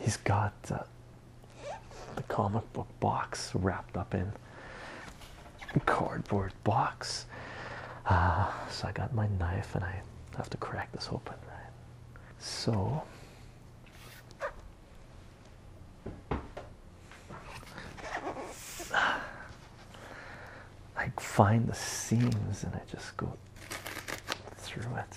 he's got uh, the comic book box wrapped up in cardboard box. Uh, so I got my knife and I have to crack this open, So like find the seams and I just go through it.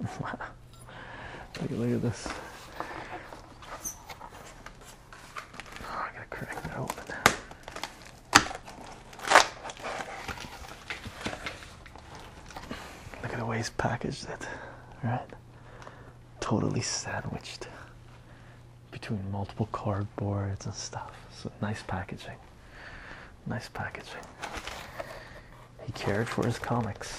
look, at, look at this. Oh, I gotta crack that open. Look at the way he's packaged it, right? Totally sandwiched between multiple cardboards and stuff. So nice packaging. Nice packaging. He cared for his comics.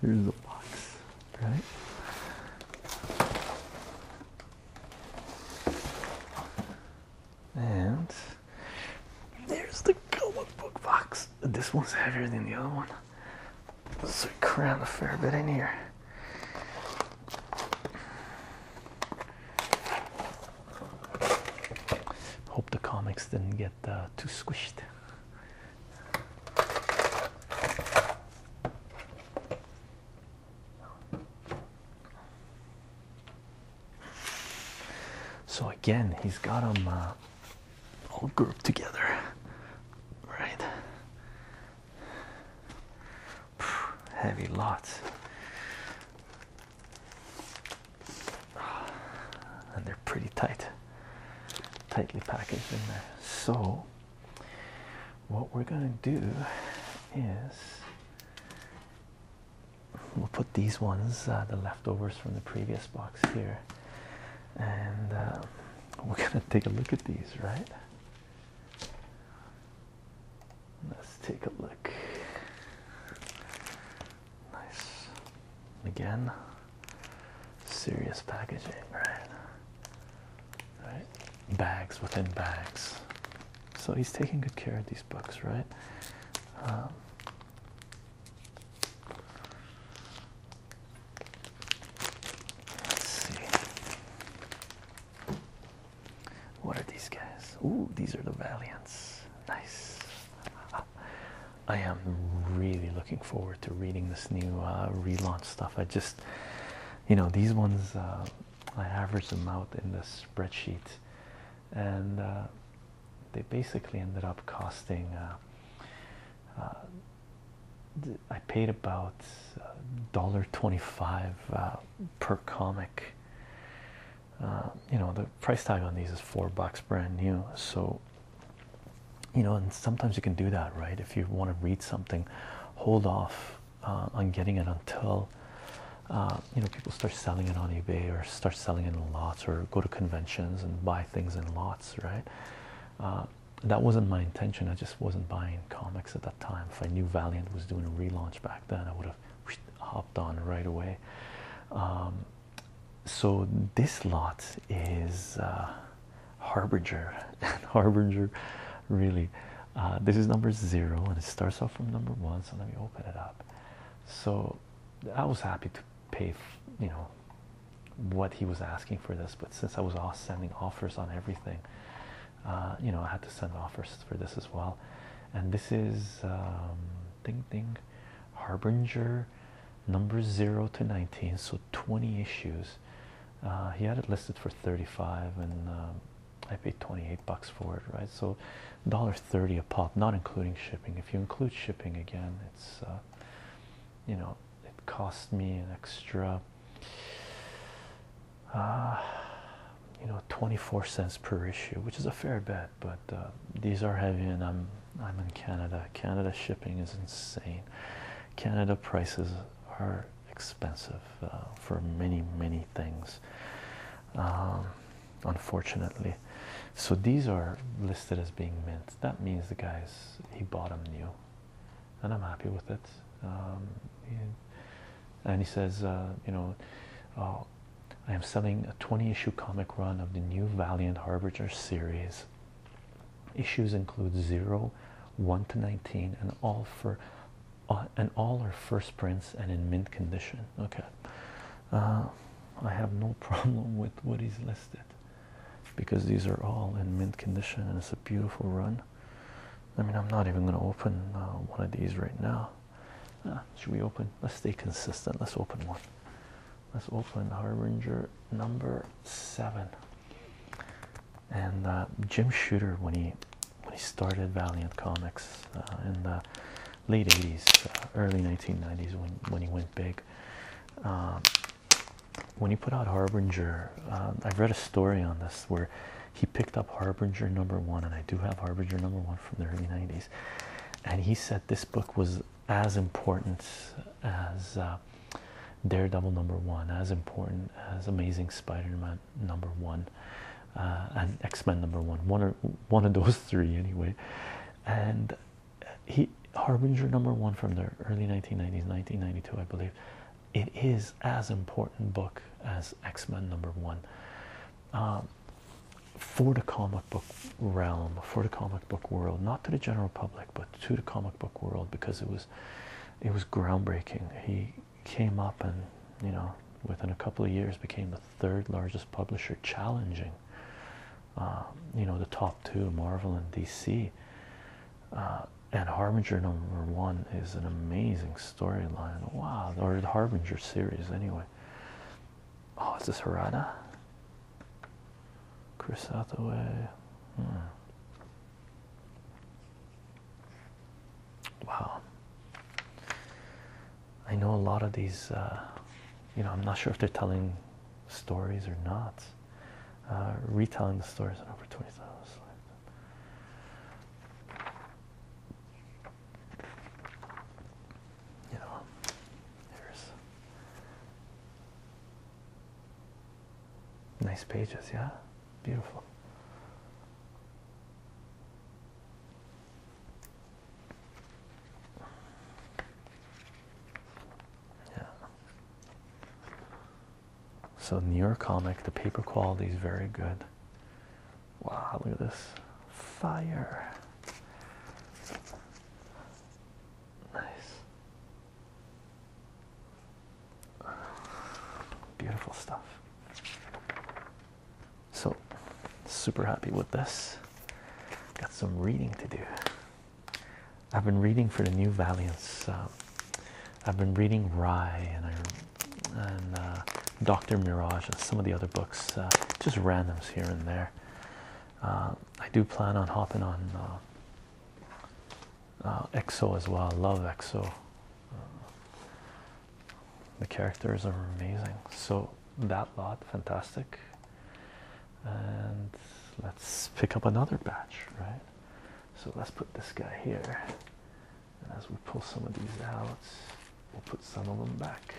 There's the box, right? And there's the comic book box. This one's heavier than the other one. So it crammed a fair bit in here. Hope the comics didn't get uh, too squished. So again, he's got them uh, all grouped together, right? heavy lots, and they're pretty tight tightly packaged in there so what we're gonna do is we'll put these ones uh, the leftovers from the previous box here and uh, we're gonna take a look at these right Let's take a look. Nice. Again, serious packaging, right? Right? Bags within bags. So he's taking good care of these books, right? Um, let's see. What are these guys? Ooh, these are the Valiants. Nice. I am really looking forward to reading this new uh, relaunch stuff. I just, you know, these ones uh, I averaged them out in the spreadsheet, and uh, they basically ended up costing. I paid about dollar twenty-five per comic. Uh, you know, the price tag on these is four bucks brand new. So, you know, and sometimes you can do that, right? If you want to read something, hold off uh, on getting it until. Uh, you know, people start selling it on eBay or start selling in lots or go to conventions and buy things in lots, right? that wasn't my intention. I just wasn't buying comics at that time. If I knew Valiant was doing a relaunch back then, I would have hopped on right away. Um, so this lot is uh, Harbinger, Harbinger, really. Uh, this is number zero, and it starts off from number one. So let me open it up. So I was happy to pay, you know, what he was asking for this, but since I was all sending offers on everything, uh, you know I had to send offers for this as well and this is um, ding ding harbinger number 0 to 19 so 20 issues uh, he had it listed for 35 and um, I paid 28 bucks for it right so $1.30 a pop not including shipping if you include shipping again it's uh, you know it cost me an extra uh, you know 24 cents per issue which is a fair bet. but uh, these are heavy and i'm i'm in canada canada shipping is insane canada prices are expensive uh, for many many things um, unfortunately so these are listed as being mint that means the guys he bought them new and i'm happy with it um, and he says, uh, you know, oh, I am selling a 20 issue comic run of the new Valiant Harbinger series. Issues include 0, 1 to 19, and all for uh, and all are first prints and in mint condition. Okay. Uh, I have no problem with what is listed because these are all in mint condition and it's a beautiful run. I mean, I'm not even going to open uh, one of these right now. Uh, should we open? Let's stay consistent. Let's open one. Let's open Harbinger number seven. And uh, Jim Shooter, when he when he started Valiant Comics in the late '80s, early 1990s, when when he went big, um, when he put out Harbinger, I've read a story on this where he picked up Harbinger number one, and I do have Harbinger number one from the early 90s. And he said this book was as important as uh, Daredevil number one, as important as Amazing Spider Man number one, uh, and X Men number one, one, or, one of those three, anyway. And he Harbinger number one from the early 1990s, 1992, I believe. It is as important book as X-Men number one um, for the comic book realm, for the comic book world, not to the general public, but to the comic book world because it was it was groundbreaking. He came up and you know within a couple of years became the third largest publisher, challenging um, you know the top two, Marvel and DC. Uh, and Harbinger number one is an amazing storyline. Wow, or the Harbinger series, anyway. Oh, is this Harada? Chris Hathaway. Hmm. Wow. I know a lot of these, uh, you know, I'm not sure if they're telling stories or not. Uh, retelling the stories on over 20,000 you know, there's nice pages, yeah? Beautiful. Yeah. So New York comic, the paper quality is very good. Wow, look at this. Fire. Nice. Beautiful stuff. So, super happy with this. Got some reading to do. I've been reading for the New Valiance. I've been reading Rye and I and uh, Dr. Mirage and some of the other books, uh, just randoms here and there. Uh, I do plan on hopping on EXO as well. I love EXO. the characters are amazing. So that lot, fantastic. And let's pick up another batch, right? So let's put this guy here. And as we pull some of these out, we'll put some of them back.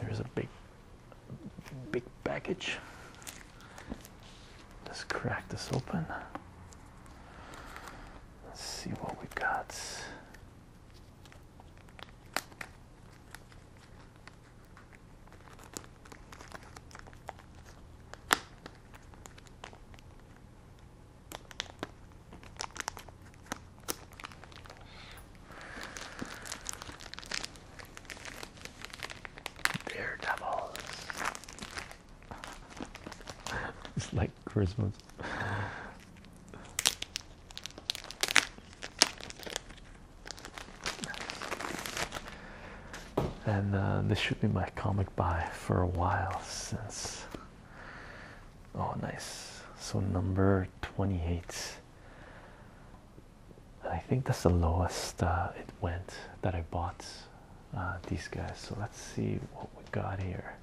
There's a big, big package. Let's crack this open. Let's see what we got. Daredevils. it's like Christmas and uh, this should be my comic buy for a while since. Oh, nice. So number 28. I think that's the lowest uh, it went that I bought uh, these guys. So let's see what we got here.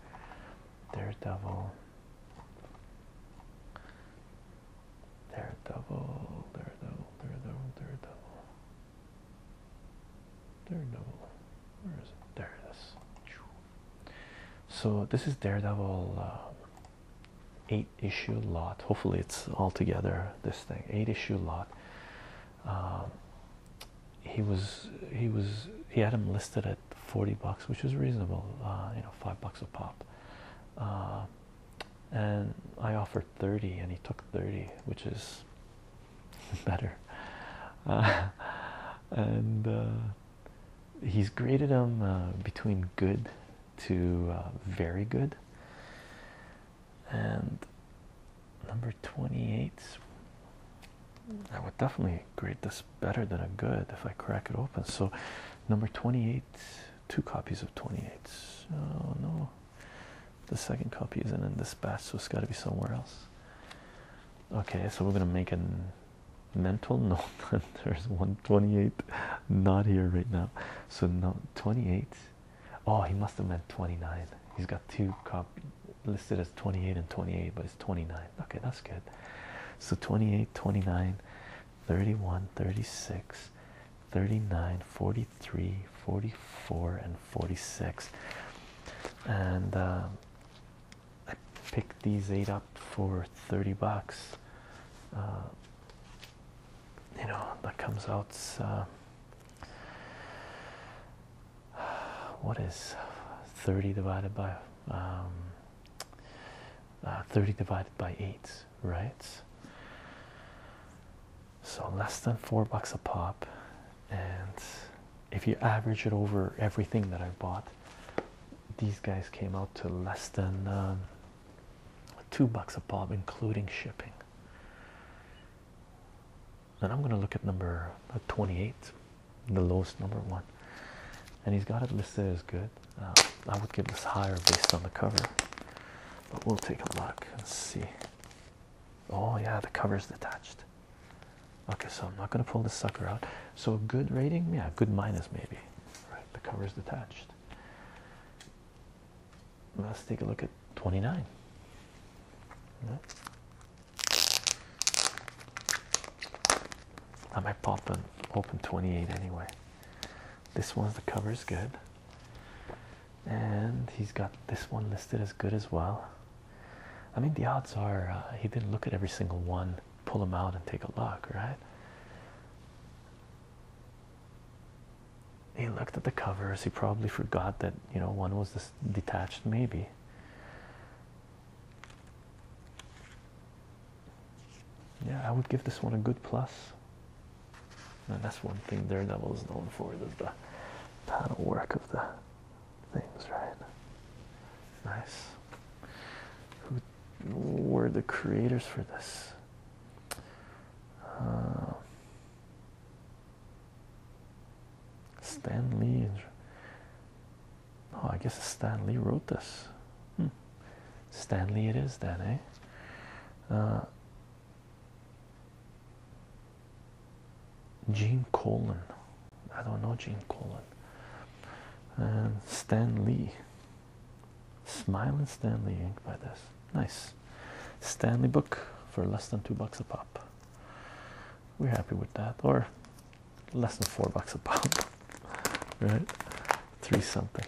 Daredevil. Daredevil, Daredevil, Daredevil, Daredevil. Daredevil, where is it? There it is. So this is Daredevil uh, eight issue lot. Hopefully it's all together. This thing eight issue lot. Um, he was he was he had him listed at forty bucks, which was reasonable. Uh, you know, five bucks a pop. Uh, and I offered 30 and he took 30 which is better. Uh, and uh, he's graded them uh, between good to very good. And number 28, I would definitely grade this better than a good if I crack it open. So, number 28, two copies of 28. Oh no, the second copy isn't in this batch, so it's got to be somewhere else. Okay, so we're gonna make a mental note. There's 128 not here right now, so no 28. Oh, he must have meant 29. He's got two cop listed as 28 and 28, but it's 29. Okay, that's good. So 28, 29, 31, 36, 39, 43, 44 and 46 and uh, I picked these eight up for 30 bucks uh, you know that comes out uh, what is 30 divided by um, 30 divided by 8 right so less than four bucks a pop and if you average it over everything that I bought, these guys came out to less than um, two bucks a pop, including shipping. Then I'm going to look at number uh, 28, the lowest number one. And he's got it listed as good. Uh, I would give this higher based on the cover, but we'll take a look and see. Oh, yeah, the cover's detached. Okay, so I'm not going to pull this sucker out. So, a good rating, yeah, good minus maybe. Right, the cover is detached. Let's take a look at 29. I might pop and open 28 anyway. This one's the cover is good, and he's got this one listed as good as well. I mean, the odds are uh, he didn't look at every single one, pull them out, and take a look, right? He looked at the covers. He probably forgot that you know one was detached, maybe. Yeah, I would give this one a good plus. And that's one thing Daredevil is known for: the panel work of the things, right? Nice. Who were the creators for this? Uh, Stan Lee. Oh, I guess Stan Lee wrote this. Hmm. Stan Lee it is then, eh? Uh, Gene Colan. I don't know Gene Colan. Um, Stan Lee. Smiling Stan Lee. by this. Nice. Stanley book for less than two bucks a pop. We're happy with that. Or less than four bucks a pop. right? Three something.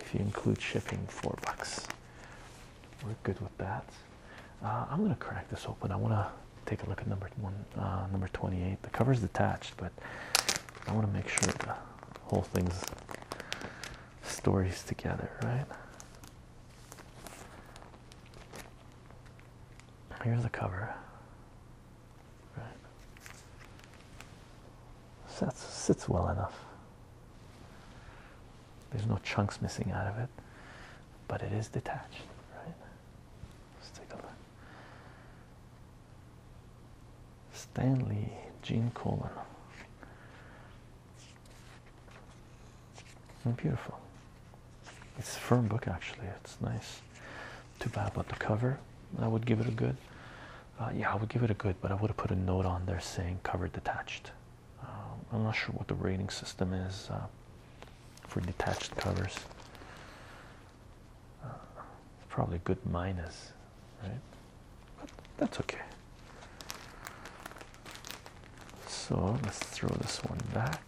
If you include shipping, four bucks. We're good with that. Uh, I'm gonna crack this open. I wanna take a look at number one, uh, number 28. The cover's detached, but I wanna make sure the whole thing's stories together, right? Here's the cover. Right. Sits, sits well enough. There's no chunks missing out of it, but it is detached, right? Let's take a look. Stanley Gene Coleman. Hmm, beautiful. It's a firm book actually. It's nice. Too bad about the cover. I would give it a good. Uh, yeah, I would give it a good, but I would have put a note on there saying cover detached. Um, I'm not sure what the rating system is uh, for detached covers. Uh, probably good minus, right? But that's okay. So let's throw this one back.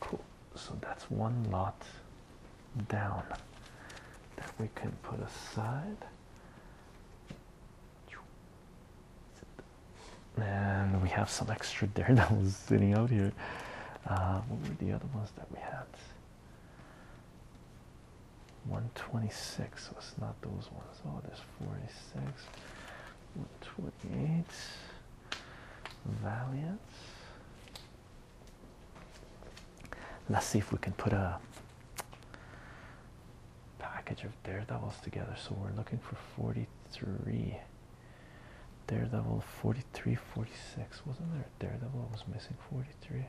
Cool. So that's one lot down that we can put aside. And we have some extra that was sitting out here. Uh, what were the other ones that we had? 126 was so not those ones. Oh, there's 46. 128 Valiant. Let's see if we can put a package of daredevils together. So we're looking for 43. Daredevil 43, 46. Wasn't there a daredevil I was missing 43?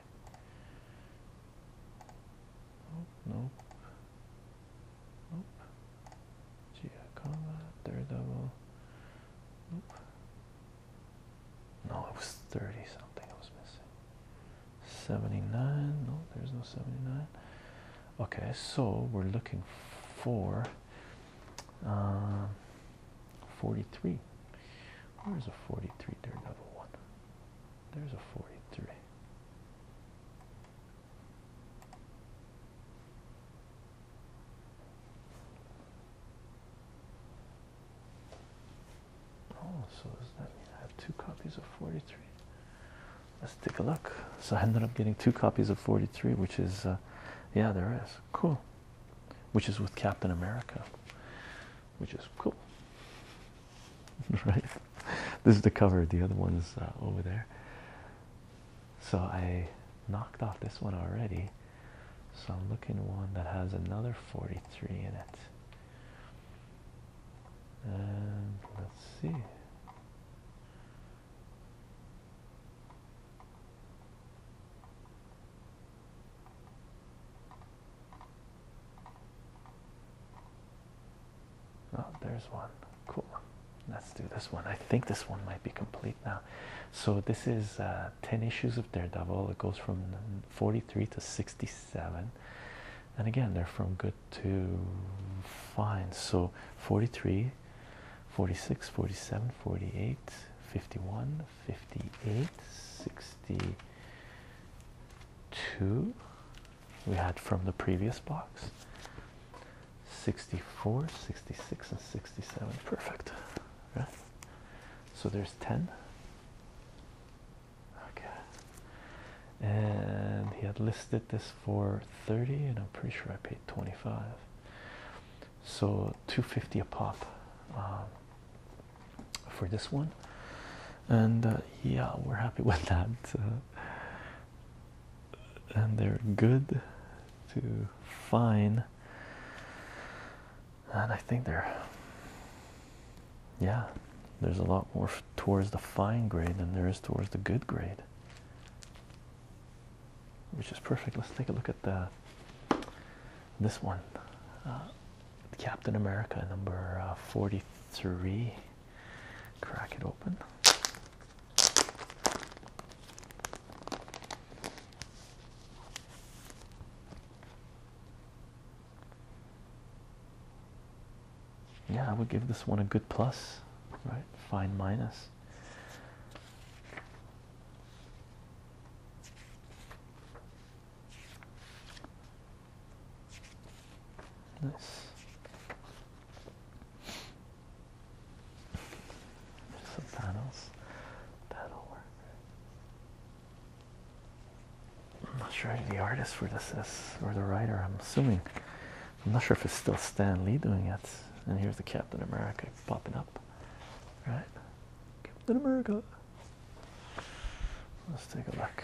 nope. Nope. Giacola, Daredevil. Nope. No, it was 30 something I was missing. 79. No, there's no 79. Okay, so we're looking for uh, 43. There's a 43 Daredevil There's a 43. Oh, so does that mean I have two copies of 43? Let's take a look. So I ended up getting two copies of 43, which is, uh, yeah, there is. Cool. Which is with Captain America, which is cool. right? This is the cover. The other ones uh, over there. So I knocked off this one already. So I'm looking one that has another 43 in it. And let's see. Oh, there's one. Cool. Let's do this one. I think this one might be complete now. So this is uh, 10 issues of Daredevil. It goes from 43 to 67. And again, they're from good to fine. So 43, 46, 47, 48, 51, 58, 62. We had from the previous box. 64, 66, and 67. Perfect. Right? So there's 10. Okay. And he had listed this for 30, and I'm pretty sure I paid 25. So 250 a pop um, for this one. And uh, yeah, we're happy with that and they're good to fine and I think they're yeah there's a lot more towards the fine grade than there is towards the good grade which is perfect let's take a look at the this one uh, Captain America number uh, 43 crack it open yeah I would give this one a good plus right fine minus nice some panels. that work. I'm not sure who the artist for this is or the writer. I'm assuming. I'm not sure if it's still Stan Lee doing it. And here's the Captain America popping up. Right? Captain America. Let's take a look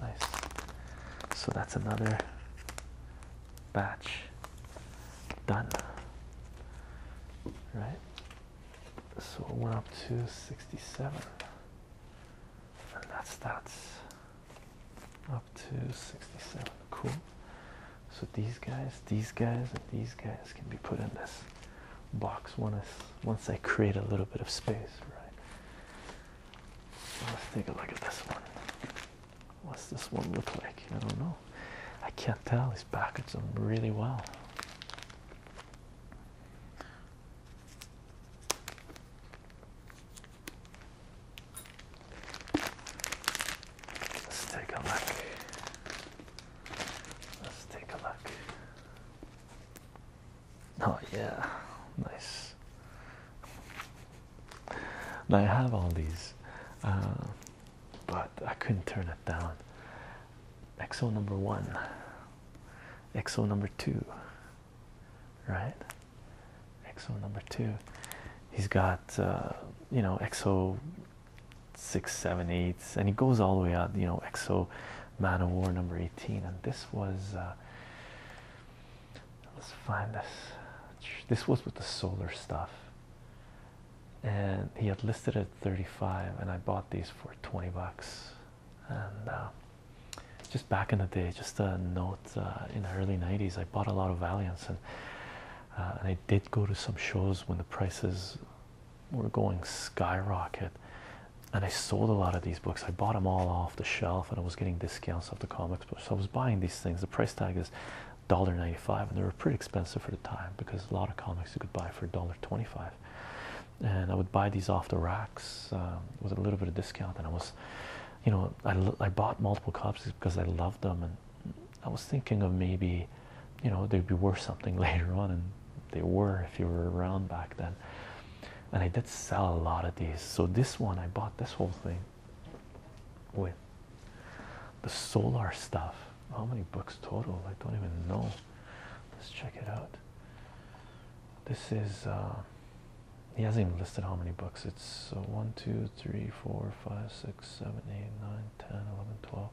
Nice. So that's another batch done. Right? So we went up to 67. And that's that's up to 67. Cool. So these guys, these guys, and these guys can be put in this box once once I create a little bit of space, right? Let's take a look at this one. What's this one look like? I don't know. I can't tell. These packaged them really well. Let's take a look. Let's take a look. Oh, yeah, nice. Now, I have all these, uh, but I couldn't turn it down. XO number one, XO number two, right? XO number two. He's got, uh, you know, XO six, seven, eight, and he goes all the way out, you know, XO Man of War number 18. And this was. Uh, Let's find this. This was with the solar stuff, and he had listed at 35, and I bought these for 20 bucks. And uh, just back in the day, just a note uh, in the early 90s, I bought a lot of Valiance, and, uh, and I did go to some shows when the prices were going skyrocket. And I sold a lot of these books. I bought them all off the shelf, and I was getting discounts off the comic so I was buying these things. The price tag is $1.95 and they were pretty expensive for the time because a lot of comics you could buy for $1.25. And I would buy these off the racks um, with a little bit of discount. And I was, you know, I, I bought multiple copies because I loved them. And I was thinking of maybe, you know, they'd be worth something later on. And they were if you were around back then. And I did sell a lot of these. So this one, I bought this whole thing with the solar stuff. How many books total? I don't even know. Let's check it out. This is, uh, he hasn't even listed how many books. It's uh, one, two, three, four, five, six, seven, eight, nine, ten, eleven, twelve,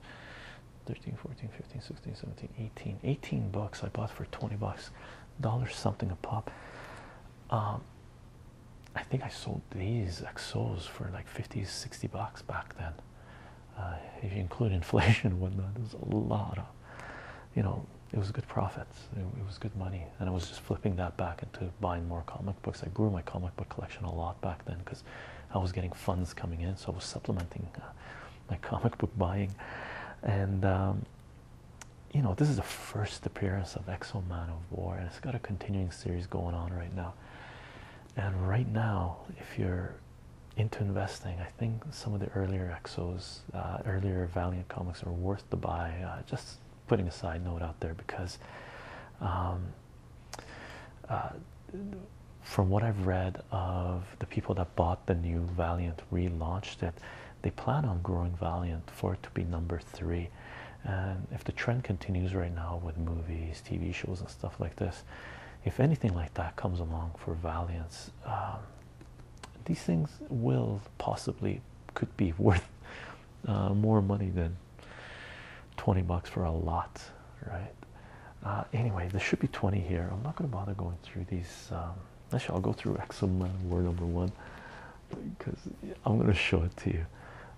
thirteen, fourteen, fifteen, sixteen, seventeen, eighteen, eighteen 1, books I bought for 20 bucks, dollars something a pop. Um, I think I sold these XOs for like 50 60 bucks back then. Uh, if you include inflation and whatnot, it was a lot of you know, it was good profits, it, was good money, and I was just flipping that back into buying more comic books. I grew my comic book collection a lot back then because I was getting funds coming in, so I was supplementing uh, my comic book buying. And um, you know, this is the first appearance of Exo Man of War, and it's got a continuing series going on right now. And right now, if you're into investing, I think some of the earlier Exos, uh, earlier Valiant comics are worth the buy. Uh, just putting a side note out there because, um, uh, from what I've read of the people that bought the new Valiant relaunched it they plan on growing Valiant for it to be number three. And if the trend continues right now with movies, TV shows, and stuff like this, if anything like that comes along for Valiance, um, these things will possibly could be worth uh, more money than 20 bucks for a lot, right? Uh, anyway, there should be 20 here. I'm not going to bother going through these. Um, actually, I'll go through Exoman, word number one because I'm going to show it to you.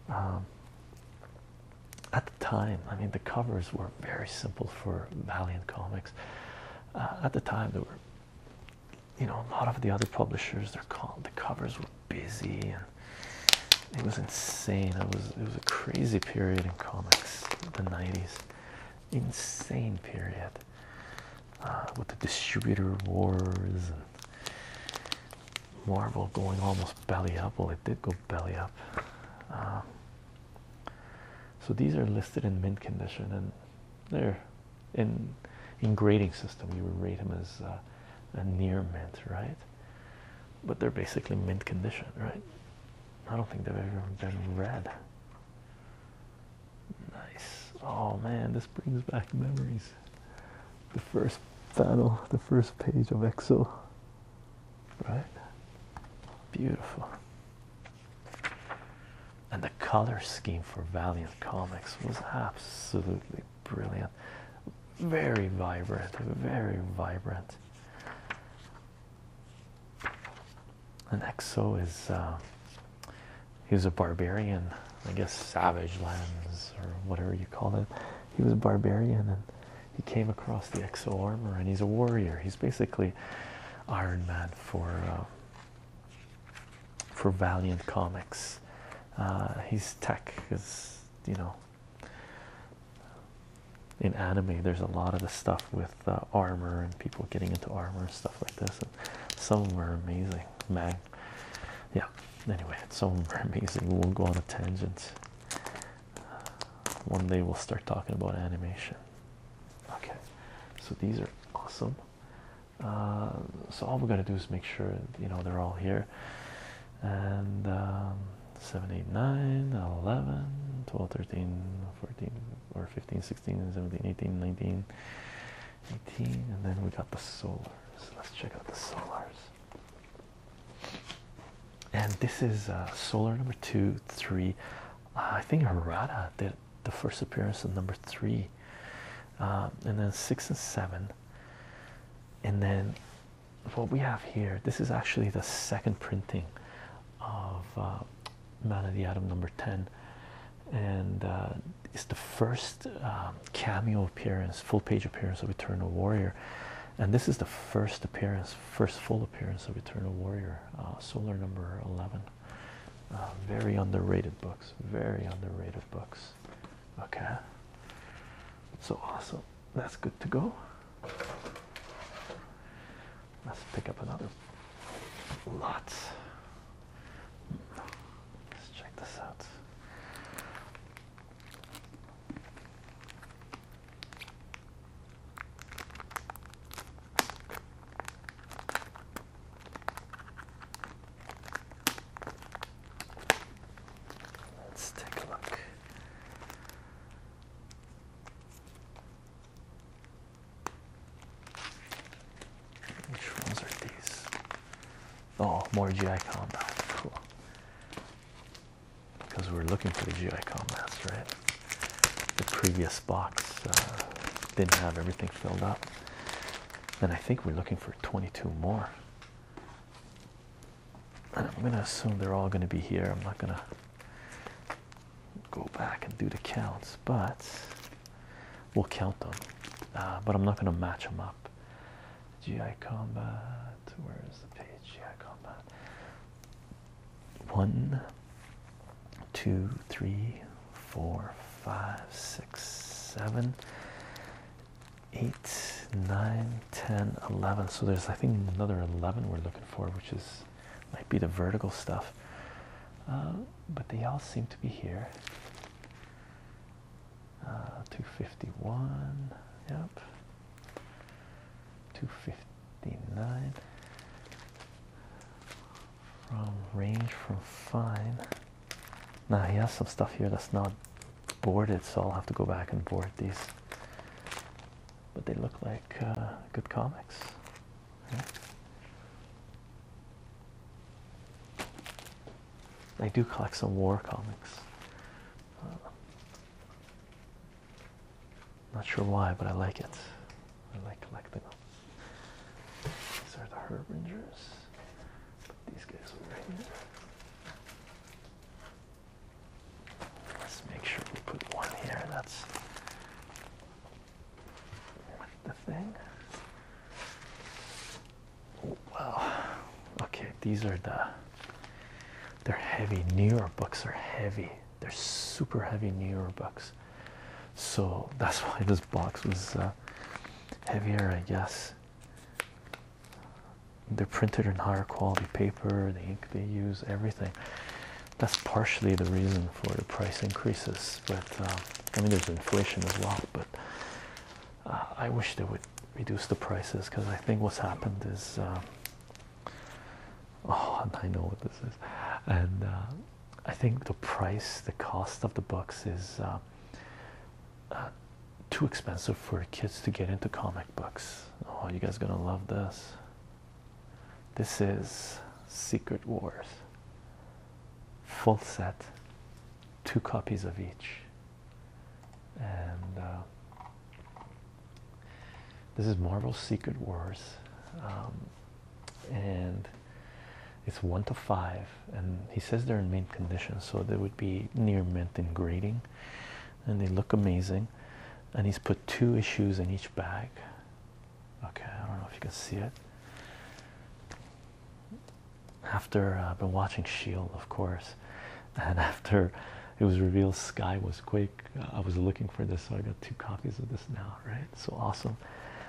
Um, at the time, I mean, the covers were very simple for Valiant Comics. Uh, at the time, there were, you know, a lot of the other publishers. They're called the covers were busy, and it was insane. It was it was a crazy period in comics, the '90s, insane period. Uh, with the distributor wars and Marvel going almost belly up. Well, it did go belly up. Uh, so these are listed in mint condition, and they're in in grading system. You would rate them as uh, a near mint, right? But they're basically mint condition, right? I don't think they've ever been read. Nice. Oh man, this brings back memories the first panel, the first page of EXO. Right? Beautiful. And the color scheme for Valiant Comics was absolutely brilliant. Very vibrant, very vibrant. And EXO is uh, he was a barbarian, I guess savage lands or whatever you call it. He was a barbarian and he came across the exo armor and he's a warrior. He's basically Iron Man for uh, for Valiant Comics. Uh, he's tech because you know in anime there's a lot of the stuff with uh, armor and people getting into armor and stuff like this and some were amazing man yeah, anyway, it's all amazing. We won't go on a tangent. Uh, one day we'll start talking about animation. Okay, so these are awesome. Uh, so all we gotta do is make sure you know they're all here. And um, 7, 8, 9, 11, 12, 13, 14, or 15, 16, 17, 18, 19, 18 and then we got the solars let's check out the solars and this is uh, solar number two three uh, i think harada did the first appearance of number three uh, and then six and seven and then what we have here this is actually the second printing of man of the atom number 10 and uh, it's the first um, cameo appearance, full page appearance of Eternal Warrior, and this is the first appearance, first full appearance of Eternal Warrior, uh, Solar number eleven. Uh, very underrated books. Very underrated books. Okay, so awesome. That's good to go. Let's pick up another Lots. Let's check this out. Let's take a look. Which ones are these? Oh, more GI combat. Cool. Because we're looking for the GI combats, right? The previous box uh, didn't have everything filled up. And I think we're looking for 22 more. And I'm gonna assume they're all gonna be here. I'm not gonna go back and do the counts, but we'll count them. Uh, but I'm not gonna match them up. GI Combat. Where is the page? GI Combat. One, two, three, four, five, six, seven, eight, nine, ten, eleven. So there's I think another eleven we're looking for, which is might be the vertical stuff. Uh, but they all seem to be here uh, 251 yep 259 from range from fine now he has some stuff here that's not boarded so I'll have to go back and board these but they look like uh, good comics I do collect some war comics. Uh, not sure why, but I like it. I like collecting them. These are the Herbingers. These guys over here. Let's make sure we put one here. That's the thing wow okay these are the they're heavy new york books are heavy they're super heavy new york books so that's why this box was uh, heavier i guess they're printed in higher quality paper the ink they use everything that's partially the reason for the price increases but uh, i mean there's inflation as well but I wish they would reduce the prices because I think what's happened is um, oh I know what this is and uh, I think the price the cost of the books is uh, uh, too expensive for kids to get into comic books oh you guys gonna love this this is Secret Wars full set two copies of each and uh, this is Marvel Secret Wars, um, and it's one to five. And he says they're in mint condition, so they would be near mint in grading, and they look amazing. And he's put two issues in each bag. Okay, I don't know if you can see it after uh, I've been watching Shield, of course, and after it was revealed Sky was Quake, uh, I was looking for this, so I got two copies of this now, right? So awesome!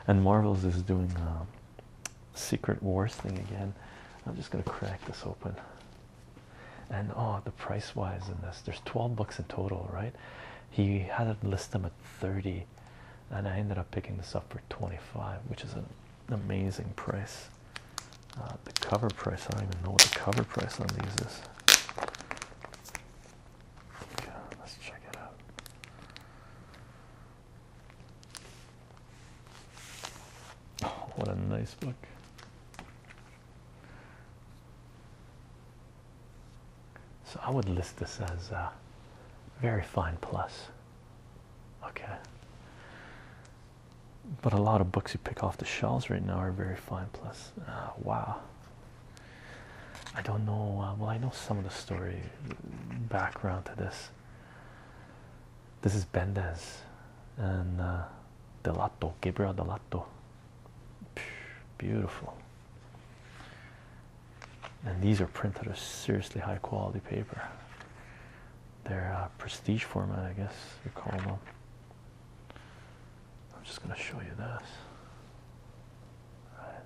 And Marvel's is doing um, Secret Wars thing again. I'm just gonna crack this open. And oh, the price wise in this, there's 12 bucks in total, right? He had it list them at 30, and I ended up picking this up for 25, which is a amazing price. Uh, the cover price, I don't even know what the cover price on these is. let's check it out. Oh, what a nice book. So I would list this as very fine plus. Okay but a lot of books you pick off the shelves right now are very fine. Plus, uh, wow, I don't know. Uh, well, I know some of the story background to this. This is Bendes, and uh, Delato, Gabriel Delato. Beautiful. And these are printed on seriously high quality paper their uh, prestige format, I guess you call them. I'm just gonna show you this.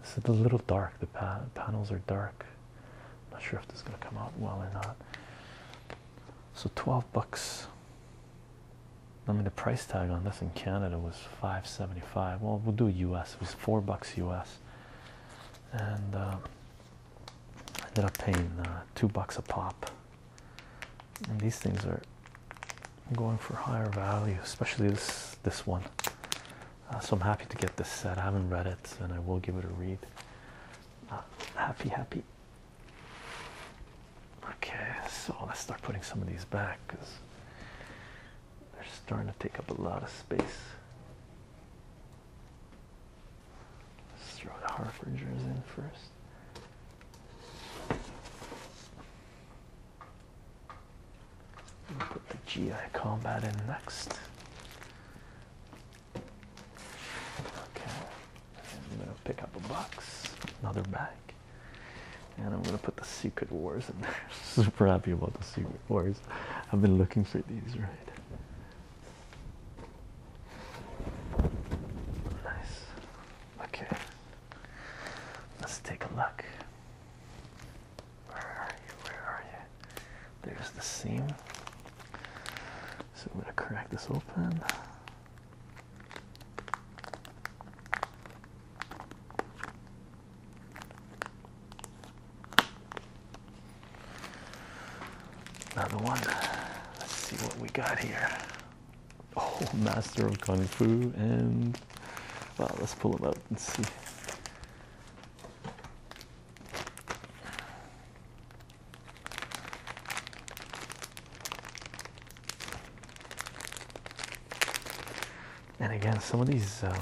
this is a little dark. The panels are dark. I'm not sure if this is gonna come out well or not. So 12 bucks. I mean, the price tag on this in Canada was 5.75. Well, we'll do U.S. It was four bucks U.S. and. Uh, I ended up paying uh, two bucks a pop. And these things are going for higher value, especially this this one. Uh, so I'm happy to get this set. I haven't read it, and I will give it a read. Uh, happy, happy. Okay, so let's start putting some of these back because they're starting to take up a lot of space throw the Harforders in 1st put the GI combat in next. Okay, I'm gonna pick up a box, another bag, and I'm gonna put the Secret Wars in there. Super happy about the Secret Wars. I've been looking for these, right? Nice. Okay. Let's take a look. Where are you? Where are you? There's the seam. So I'm gonna crack this open. Another one. Let's see what we got here. Oh, Master of Kung Fu and well, let's pull them out and see. And again, some of these um,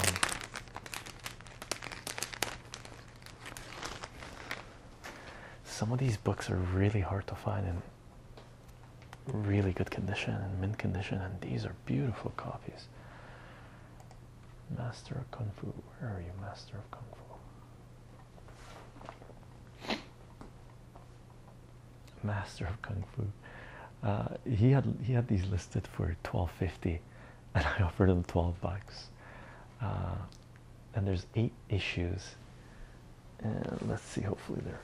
some of these books are really hard to find in really good condition and mint condition, and these are beautiful copies. Master of Kung Fu, where are you, Master of Kung Fu? Master of Kung Fu. Uh, he had he had these listed for twelve fifty, and I offered him twelve bucks. Uh, and there's eight issues and let's see hopefully they're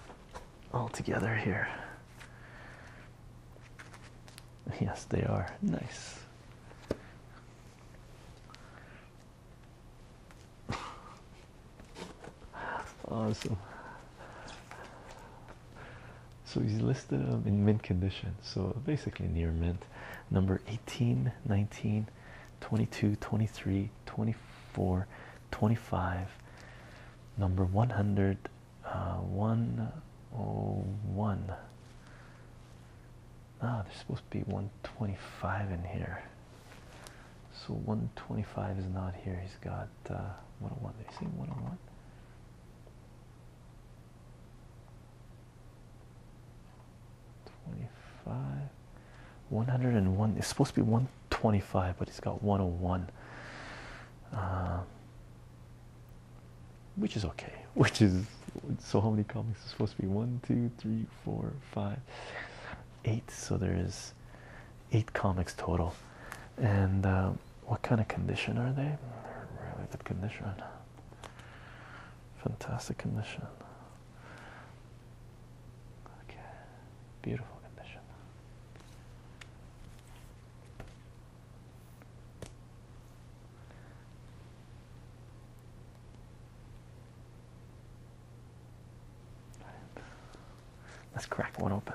all together here yes they are nice awesome so he's listed them in mint condition so basically near mint number eighteen, nineteen. 22 23 24 25 number one hundred, uh, one, oh one. uh, 101 ah there's supposed to be 125 in here so 125 is not here he's got 101 uh, did he say 101 25 101 it's supposed to be 125 but it's got 101 uh, which is okay which is so how many comics is supposed to be one two three four five eight so there's eight comics total and uh, what kind of condition are they really good condition fantastic condition Okay, beautiful condition. Let's crack one open.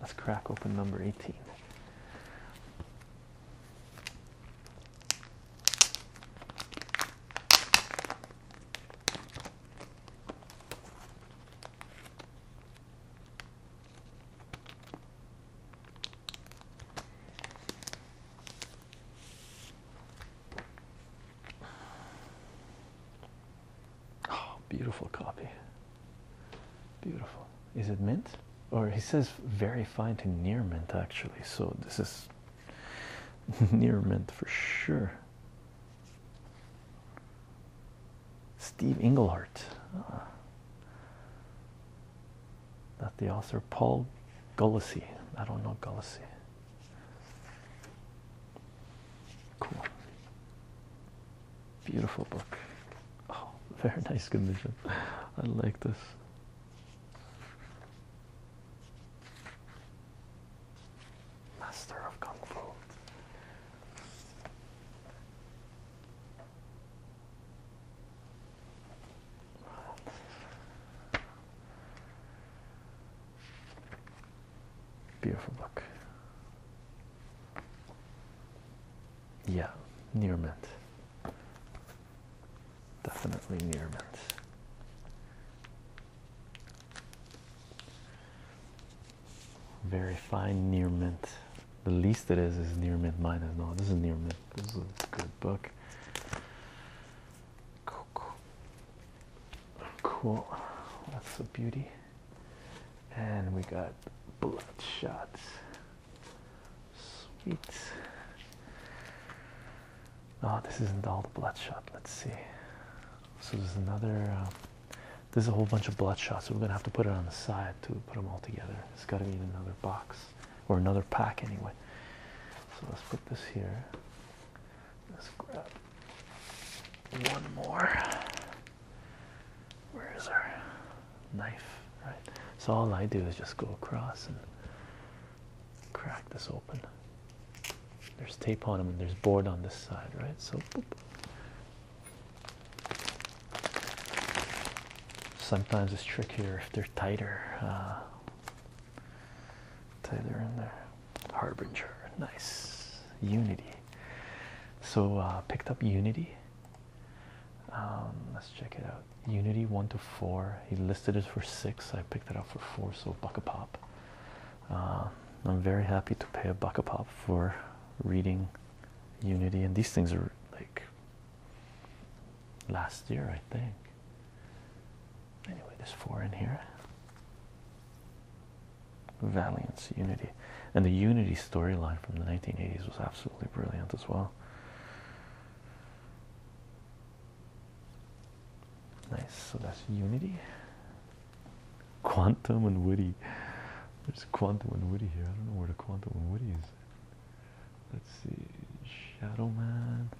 Let's crack open number 18. Oh, beautiful copy. Beautiful. Is it mint? Or he says very fine to near mint actually. So this is Near mint for sure. Steve Englehart. Not ah. the author Paul Gullisy. I don't know Gullisy. Cool. Beautiful book. Oh, very nice condition. I like this. Master of Kung Fu. Beautiful book. Yeah, near mint. Definitely near mint. Very fine near mint. The least it is is near mint minus. No, this is near mint. This is a good book. Cool. Cool. cool. That's a beauty. And we got blood shots. Sweet. Oh, this isn't all the bloodshot. Let's see. So there's another. Uh, there's a whole bunch of bloodshot. So we're gonna have to put it on the side to put them all together. It's got to be in another box or another pack anyway. So let's put this here. Let's grab one more. Where is our knife? Right. So all I do is just go across and crack this open. There's tape on them and there's board on this side, right? So sometimes it's trickier if they're tighter. Uh, tighter in there. Harbinger, nice. Unity. So uh, picked up Unity. Um, let's check it out. Unity one to four. He listed it for six. I picked it up for four, so buck a pop. Um, I'm very happy to pay a buck a pop for reading Unity, and these things are like last year, I think. Anyway, there's four in here. Valiance Unity, and the Unity storyline from the 1980s was absolutely brilliant as well. Nice, so that's unity. Quantum and Woody. There's quantum and Woody here. I don't know where the quantum and Woody is. Let's see. Shadow Man.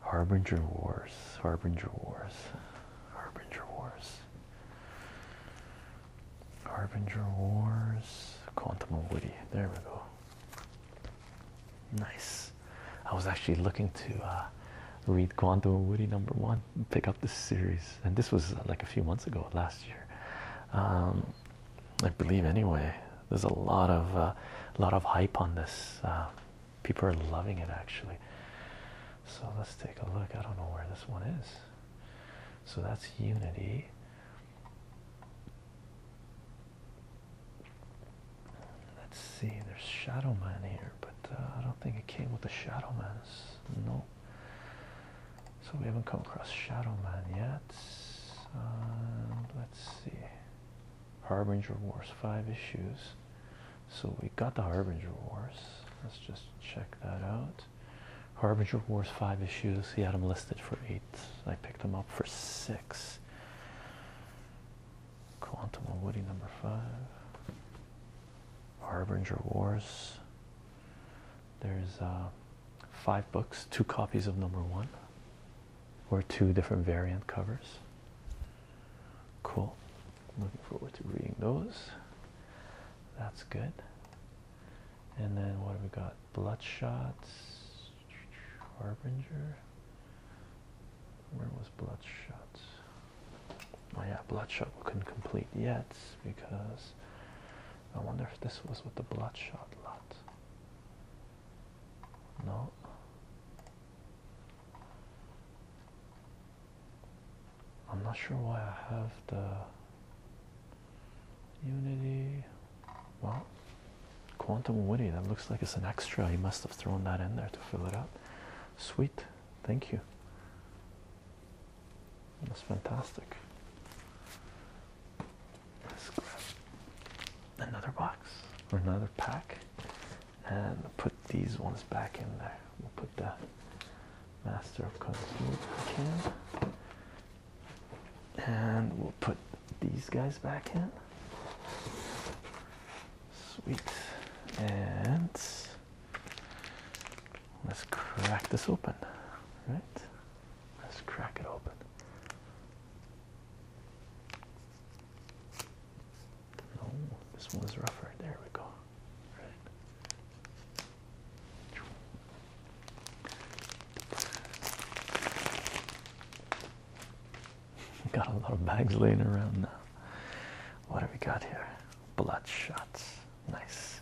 Harbinger Wars. Harbinger Wars. Harbinger Wars. Harbinger Wars. Quantum and Woody. There we go. Nice. I was actually looking to uh, read Quantum and Woody number one, pick up this series, and this was uh, like a few months ago, last year, um, I believe. Anyway, there's a lot of a uh, lot of hype on this. people are loving it actually. So let's take a look. I don't know where this one is. So that's Unity. Let's see, there's Shadow Man here, but uh, I don't think it came with the Shadow Man's. No. So we haven't come across Shadow Man yet. let's see. Harbinger Wars, five issues. So we got the Harbinger Wars. Let's just check that out. Harbinger Wars, five issues. He had them listed for eight. I picked them up for six. Quantum of Woody number five. Harbinger Wars. There's uh, five books, two copies of number one, or two different variant covers. Cool. Looking forward to reading those. That's good. And then what have we got? Bloodshot, Harbinger, where was Bloodshot? Oh yeah, Bloodshot couldn't complete yet because I wonder if this was with the Bloodshot lot. No. I'm not sure why I have the Unity. Well, Quantum Unity. that looks like it's an extra. He must have thrown that in there to fill it up. Sweet, thank you. That's fantastic. Let's grab another box or another pack and put these ones back in there. We'll put the Master of Kung Fu back in. And we'll put these guys back in. Sweet. And let's crack this open. Right? Let's crack it open. No, this one's rougher. There we go. Right. got a lot of bags laying around now. What have we got here? Bloodshot, nice.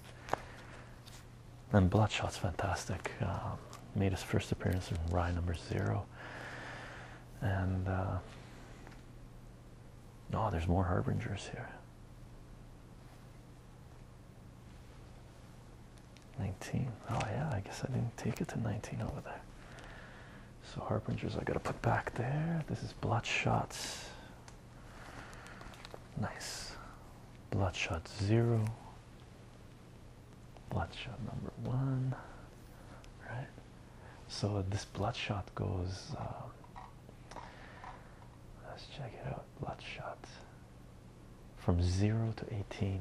And Bloodshot's fantastic. Um, made his first appearance in Rye number zero. And uh, oh, there's more harbingers here. 19. Oh, yeah, I guess I didn't take it to 19 over there. So Harbingers I gotta put back there. This is Bloodshots. Nice. Bloodshot zero. Bloodshot number one. Right? So this bloodshot goes um, let's check it out. Bloodshot. From zero to eighteen.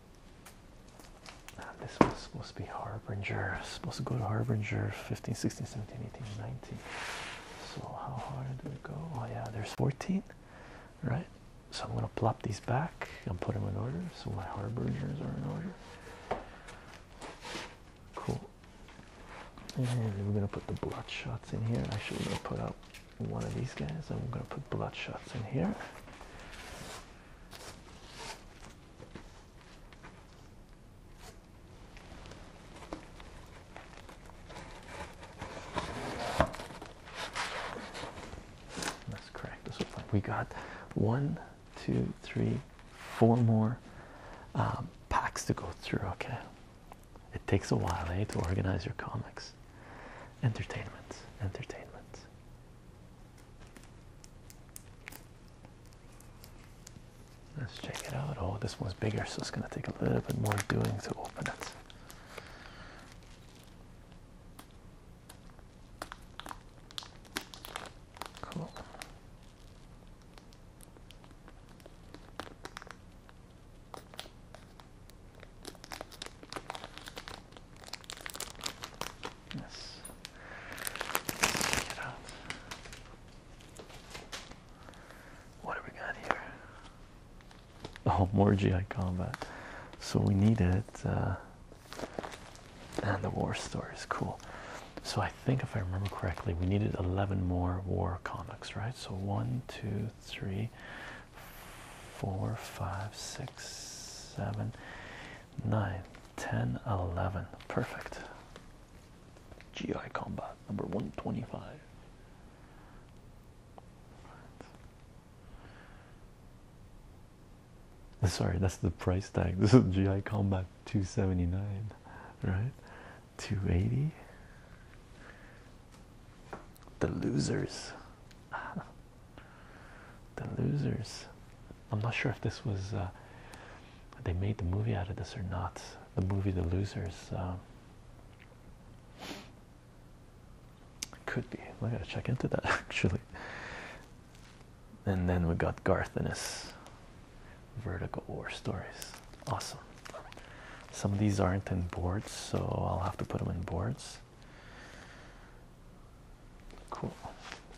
Ah, this was supposed to be Harbinger, supposed to go to Harbinger 15, 16, 17, 18, 19. So, how far do we go? Oh, yeah, there's 14, right? So, I'm going to plop these back and put them in order. So, my Harbingers are in order. Cool. And we're going to put the blood shots in here. Actually, we're going to put out one of these guys. I'm gonna put bloodshots in here. Let's crack this open. We got one, two, three, four more um, packs to go through. Okay, it takes a while, eh, to organize your comics entertainment, entertainment. Let's check it out. Oh, this one's bigger, so it's going to take a little bit more doing to open it. Cool. Yes. Get out. What do we got here? Oh, more GI combat. So we needed, uh, and the war story is cool. So I think if I remember correctly, we needed 11 more war comics, right? So one, two, three, 4, 5, 6, 7, 9, 10, 11. Perfect. GI Combat number 125. Sorry, that's the price tag. This is GI Combat 279, right? 280. The losers. the losers. I'm not sure if this was uh, they made the movie out of this or not. The movie The Losers. Um, could be. I gotta check into that actually. And then we got Garth and his vertical war stories. Awesome. Some of these aren't in boards, so I'll have to put them in boards. Cool.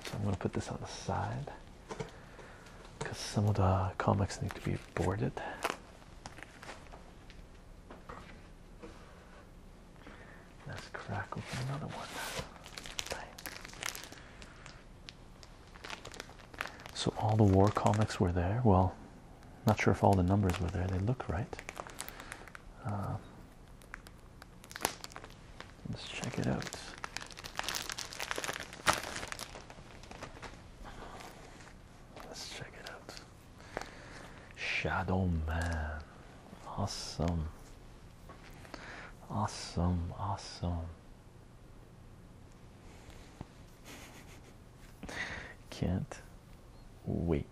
So I'm going to put this on the side because some of the comics need to be boarded. Let's crack open another one. So all the war comics were there. Well, not sure if all the numbers were there. They look right. Uh, Let's check it out. Let's check it out. Shadow Man. Awesome. Awesome. Awesome. Can't wait.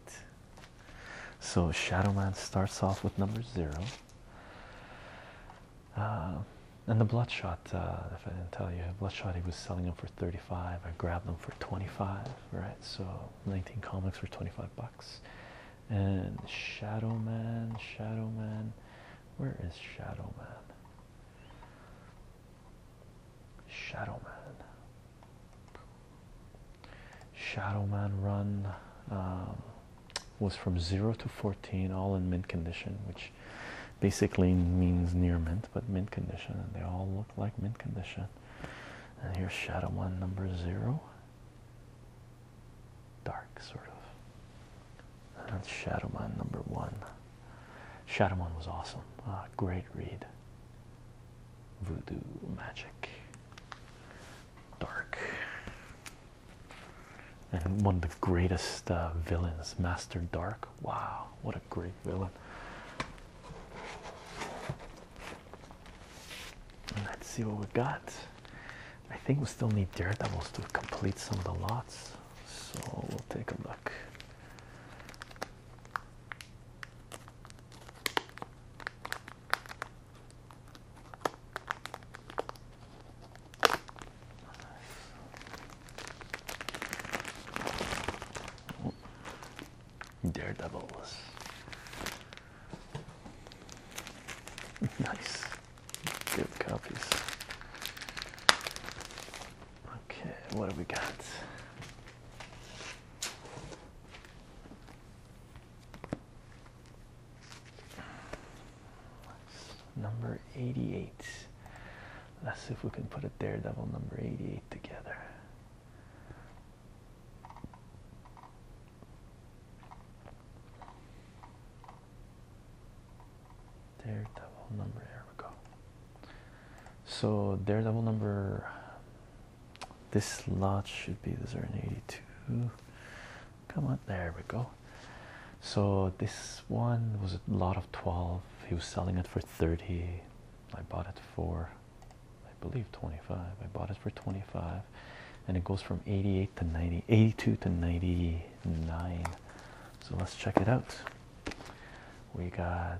So Shadow Man starts off with number zero. Uh, and the Bloodshot, uh, if I didn't tell you, Bloodshot, he was selling them for 35. I grabbed them for 25, right? So 19 comics for 25 bucks. And Shadow Man, Shadow Man, where is Shadow Man? Shadow Man. Shadow Man run um, was from 0 to 14, all in mint condition, which basically means near mint, but mint condition, and they all look like mint condition. And here's Shadow Man number 0, dark sort of. that's Shadow Man number 1. Shadow Man was awesome, uh, great read. Voodoo magic. Dark. And one of the greatest uh, villains, Master Dark. Wow, what a great villain. Let's see what we got. I think we still need Daredevils to complete some of the lots. So we'll take a look. Daredevils. nice. Good copies. Okay, what do we got? Number 88. Let's see if we can put it there. Double number 88 together. Daredevil number, there we go. So, daredevil number this lot should be the are 82. Come on, there we go. So this one was a lot of 12. He was selling it for 30. I bought it for I believe 25. I bought it for 25. And it goes from 88 to 90, 82 to 99. So let's check it out. We got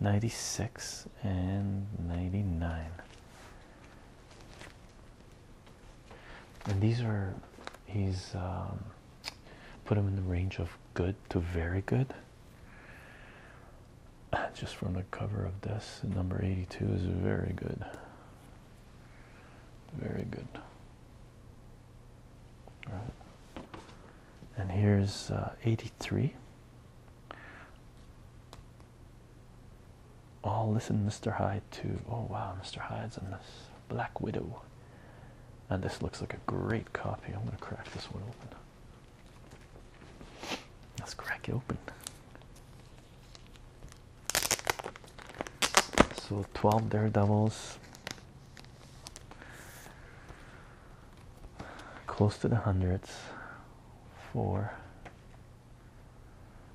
96 and 99 and these are he's um, put them in the range of good to very good just from the cover of this number 82 is very good very good All right and here's uh, 83 Oh, listen, Mr. Hyde, Too. oh wow, Mr. Hyde's in this Black Widow, and this looks like a great copy. I'm gonna crack this one open. Let's crack it open. So, 12 Daredevils, close to the hundreds four.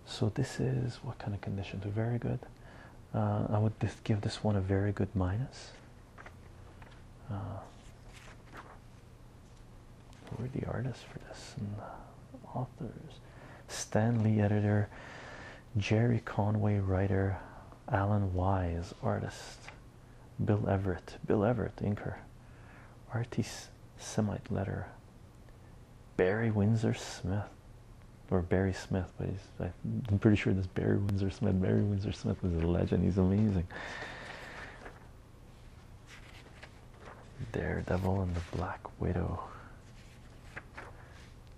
So this is what kind of condition? Very good. Uh, I would give this one a very good minus. Uh, who are the artists for this and authors? Stanley editor, Jerry Conway writer, Alan Wise artist. Bill Everett, Bill Everett, Inker, R.T. Semite letter, Barry Windsor Smith, or Barry Smith, but I'm pretty sure this Barry Windsor Smith, Barry Windsor Smith is a legend, he's amazing. Daredevil and the Black Widow,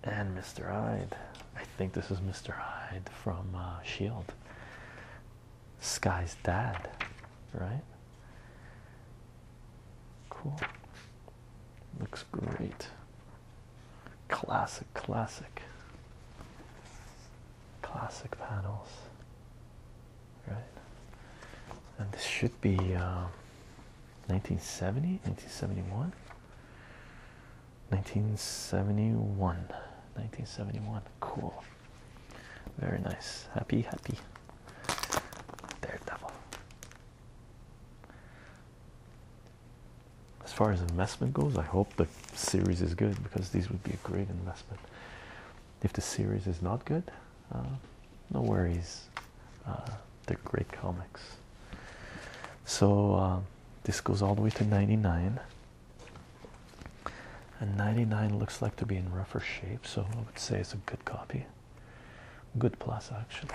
and Mr. Hyde. I think this is Mr. Hyde from uh, Shield. Sky's dad, right? Cool. Looks great. Classic, classic, classic panels, right? And this should be 1970, um, 1971. 1971 1971 cool very nice. Happy, happy. Daredevil. As far as investment goes, I hope the series is good because these would be a great investment. If the series is not good, uh, no worries. Uh, they're great comics. So uh, this goes all the way to 99. And 99 looks like to be in rougher shape, so I would say it's a good copy. Good plus, actually.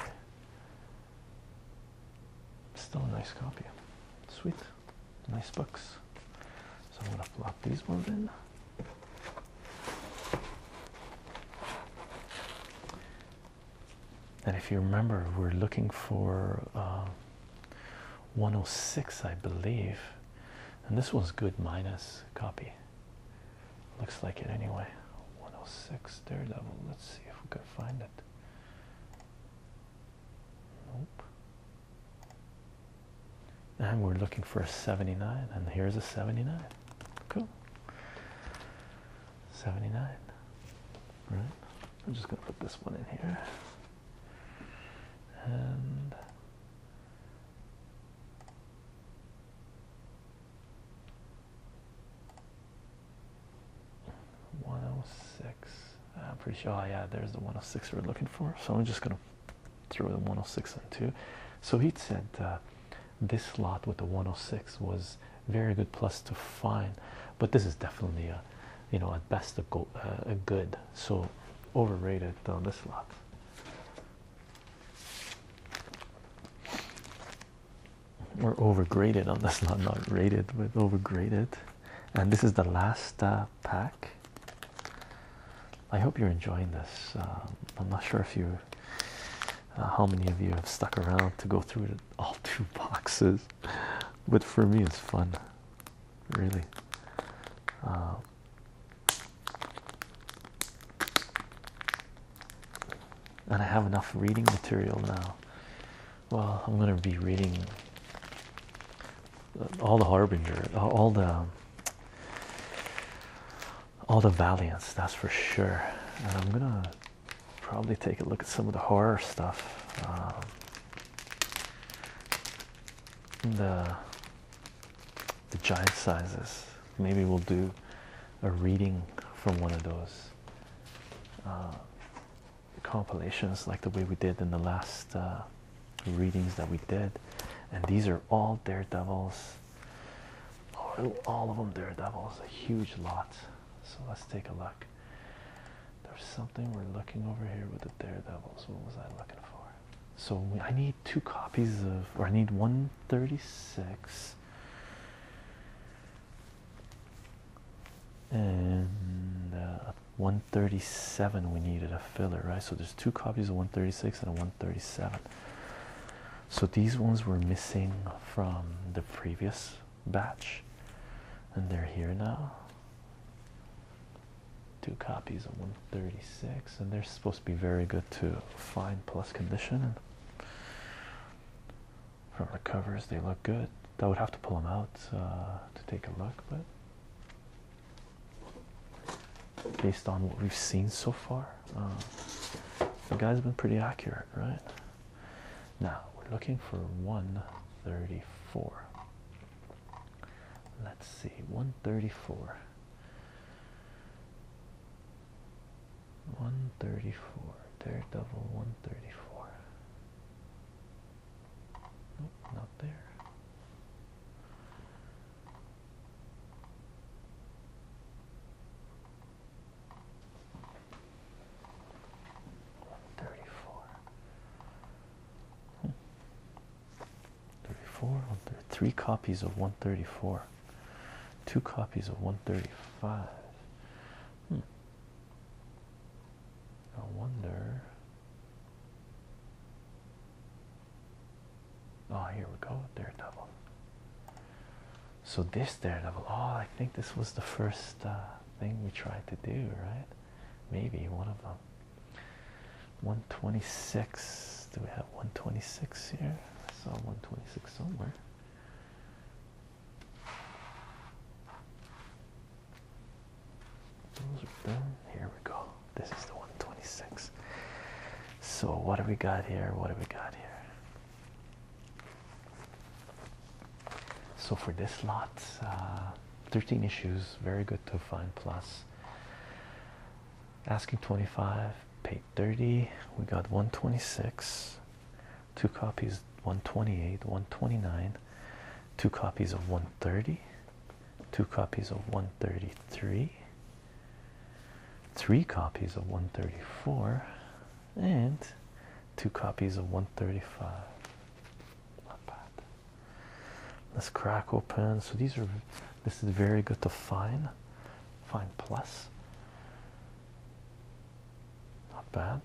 Still a nice copy. Sweet. Nice books. So I'm going to plop these ones in. And if you remember, we're looking for uh, 106, I believe and this one's good minus copy looks like it anyway 106 level. let's see if we can find it nope and we're looking for a 79 and here's a 79 cool 79 right i'm just gonna put this one in here and 106 I'm pretty sure oh yeah there's the 106 we're looking for so I'm just gonna throw the 106 and two so he said uh, this slot with the 106 was very good plus to find but this is definitely a you know at best a, uh, good so overrated this lot we're overgraded on this, not not rated, but overgraded. And this is the last uh, pack. I hope you're enjoying this. Um, I'm not sure if you, uh, how many of you have stuck around to go through all two boxes, but for me it's fun, really. Um, and I have enough reading material now. Well, I'm going to be reading uh, all the Harbinger, uh, all the all the Valiants, that's for sure. And I'm going to probably take a look at some of the horror stuff. Um, the the giant sizes. Maybe we'll do a reading from one of those uh, compilations, like the way we did in the last uh, readings that we did. And these are all daredevils, all of them daredevils, a huge lot. So let's take a look. There's something we're looking over here with the daredevils. What was I looking for? So I need two copies of, or I need 136 and uh, 137 we needed a filler, right? So there's two copies of 136 and a 137. So these ones were missing from the previous batch and they're here now two copies of 136 and they're supposed to be very good to fine plus condition and from the covers they look good I would have to pull them out uh, to take a look but based on what we've seen so far uh, the guy's been pretty accurate right now we're looking for 134 Let's see, 134. 134. Daredevil 134. Nope, not there. One thirty-four. Hmm. 34 three copies of 134 two copies of 135 hmm. I wonder oh here we go Daredevil so this Daredevil oh I think this was the first uh, thing we tried to do right maybe one of them 126. Do we have 126 here? I saw 126 somewhere. Here we go. This is the 126. So, what do we got here? What do we got here? So, for this lot, uh, 13 issues, very good to find plus asking 25 paid 30 we got 126 two copies 128 129 two copies of 130 two copies of 133 three copies of 134 and two copies of 135 not bad let's crack open so these are this is very good to find, find plus. Not bad.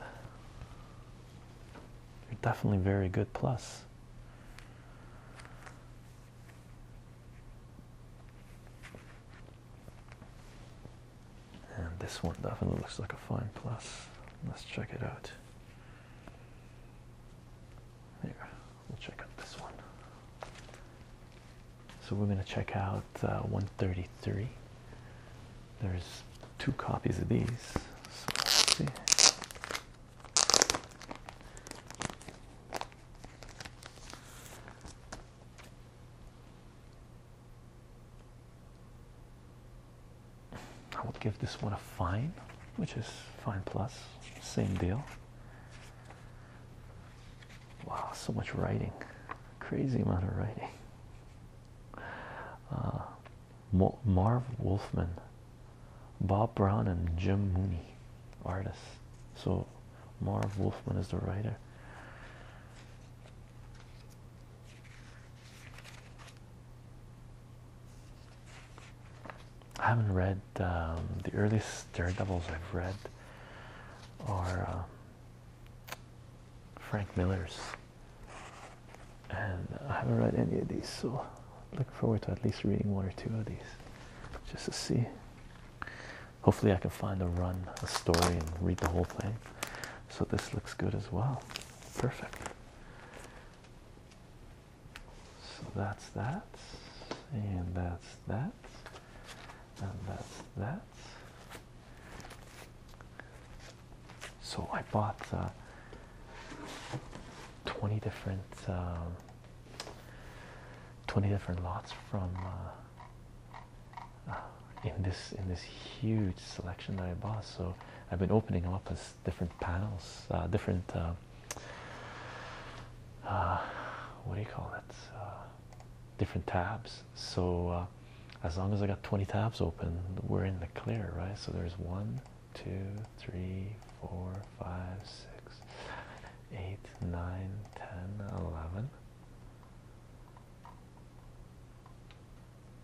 You're definitely very good plus. And this one definitely looks like a fine plus. Let's check it out. Here. We'll check out this one. So we're going to check out uh, 133. There's two copies of these. I would give this one a fine, which is fine plus, same deal. Wow, so much writing. Crazy amount of writing. Uh, Marv Wolfman, Bob Brown, and Jim Mooney, artists. So Marv Wolfman is the writer. I haven't read um, the earliest Daredevils I've read are uh, Frank Miller's, and I haven't read any of these, so looking forward to at least reading one or two of these just to see. Hopefully, I can find a run, a story, and read the whole thing. So, this looks good as well. Perfect. So, that's that, and that's that's that, and that's that. So I bought uh, 20 different um, 20 different lots from uh, uh, in this in this huge selection that I bought so I've been opening up as different panels different um, uh, uh, what do you call it? Uh, different tabs. So as long as I got 20 tabs open, we're in the clear, right? So there's one, two, three, four, five, six, eight, nine, ten, eleven,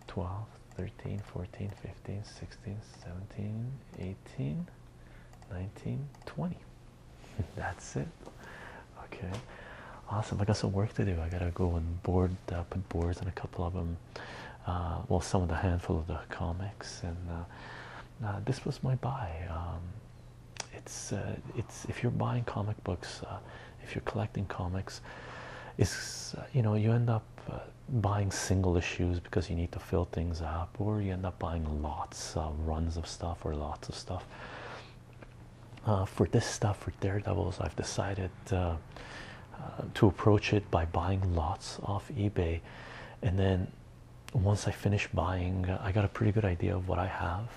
twelve, thirteen, fourteen, fifteen, sixteen, seventeen, eighteen, nineteen, twenty. That's it. Okay, awesome. I got some work to do. I gotta go and board uh, put boards and a couple of them. Uh, well, some of the handful of the comics, and uh, uh, this was my buy. Um, it's it's if you're buying comic books, if you're collecting comics, it's you know you end up buying single issues because you need to fill things out or you end up buying lots of runs of stuff or lots of stuff uh, for this stuff for daredevils i've decided uh, uh, to approach it by buying lots off ebay and then once i finish buying i got a pretty good idea of what i have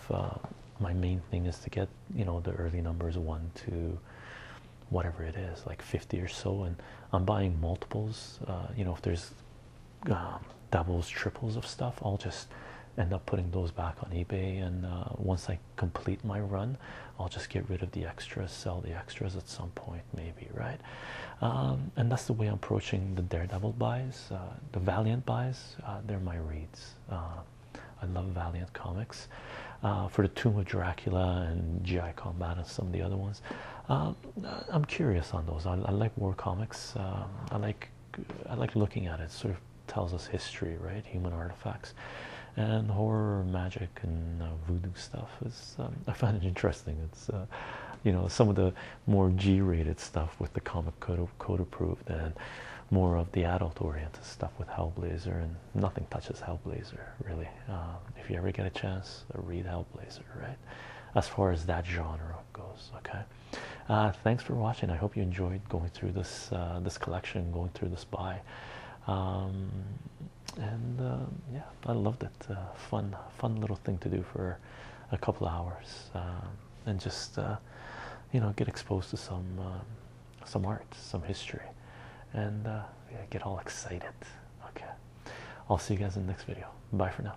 my main thing is to get you know the early numbers one to whatever it is like 50 or so and i'm buying multiples you know if there's um, doubles, triples of stuff, I'll just end up putting those back on eBay. And uh, once I complete my run, I'll just get rid of the extras, sell the extras at some point, maybe, right? Um, and that's the way I'm approaching the Daredevil buys, uh, the Valiant buys. Uh, they're my reads. I love Valiant comics. for the Tomb of Dracula and GI Combat and some of the other ones, um, I'm curious on those. I, like war comics. I like I like looking at it. it. Sort of tells us history, right? Human artifacts, and horror, magic, and uh, voodoo stuff. Is um, I find it interesting. It's uh, you know some of the more G-rated stuff with the comic code, code approved, and more of the adult-oriented stuff with Hellblazer, and nothing touches Hellblazer really. Um, if you ever get a chance, read Hellblazer, right? As far as that genre goes. Okay. Uh, thanks for watching. I hope you enjoyed going through this uh, this collection, going through the spy, um, and um, yeah, I loved it. Uh, fun, fun little thing to do for a couple hours, um, and just you know get exposed to some some art, some history, and get all excited. Okay, I'll see you guys in the next video. Bye for now.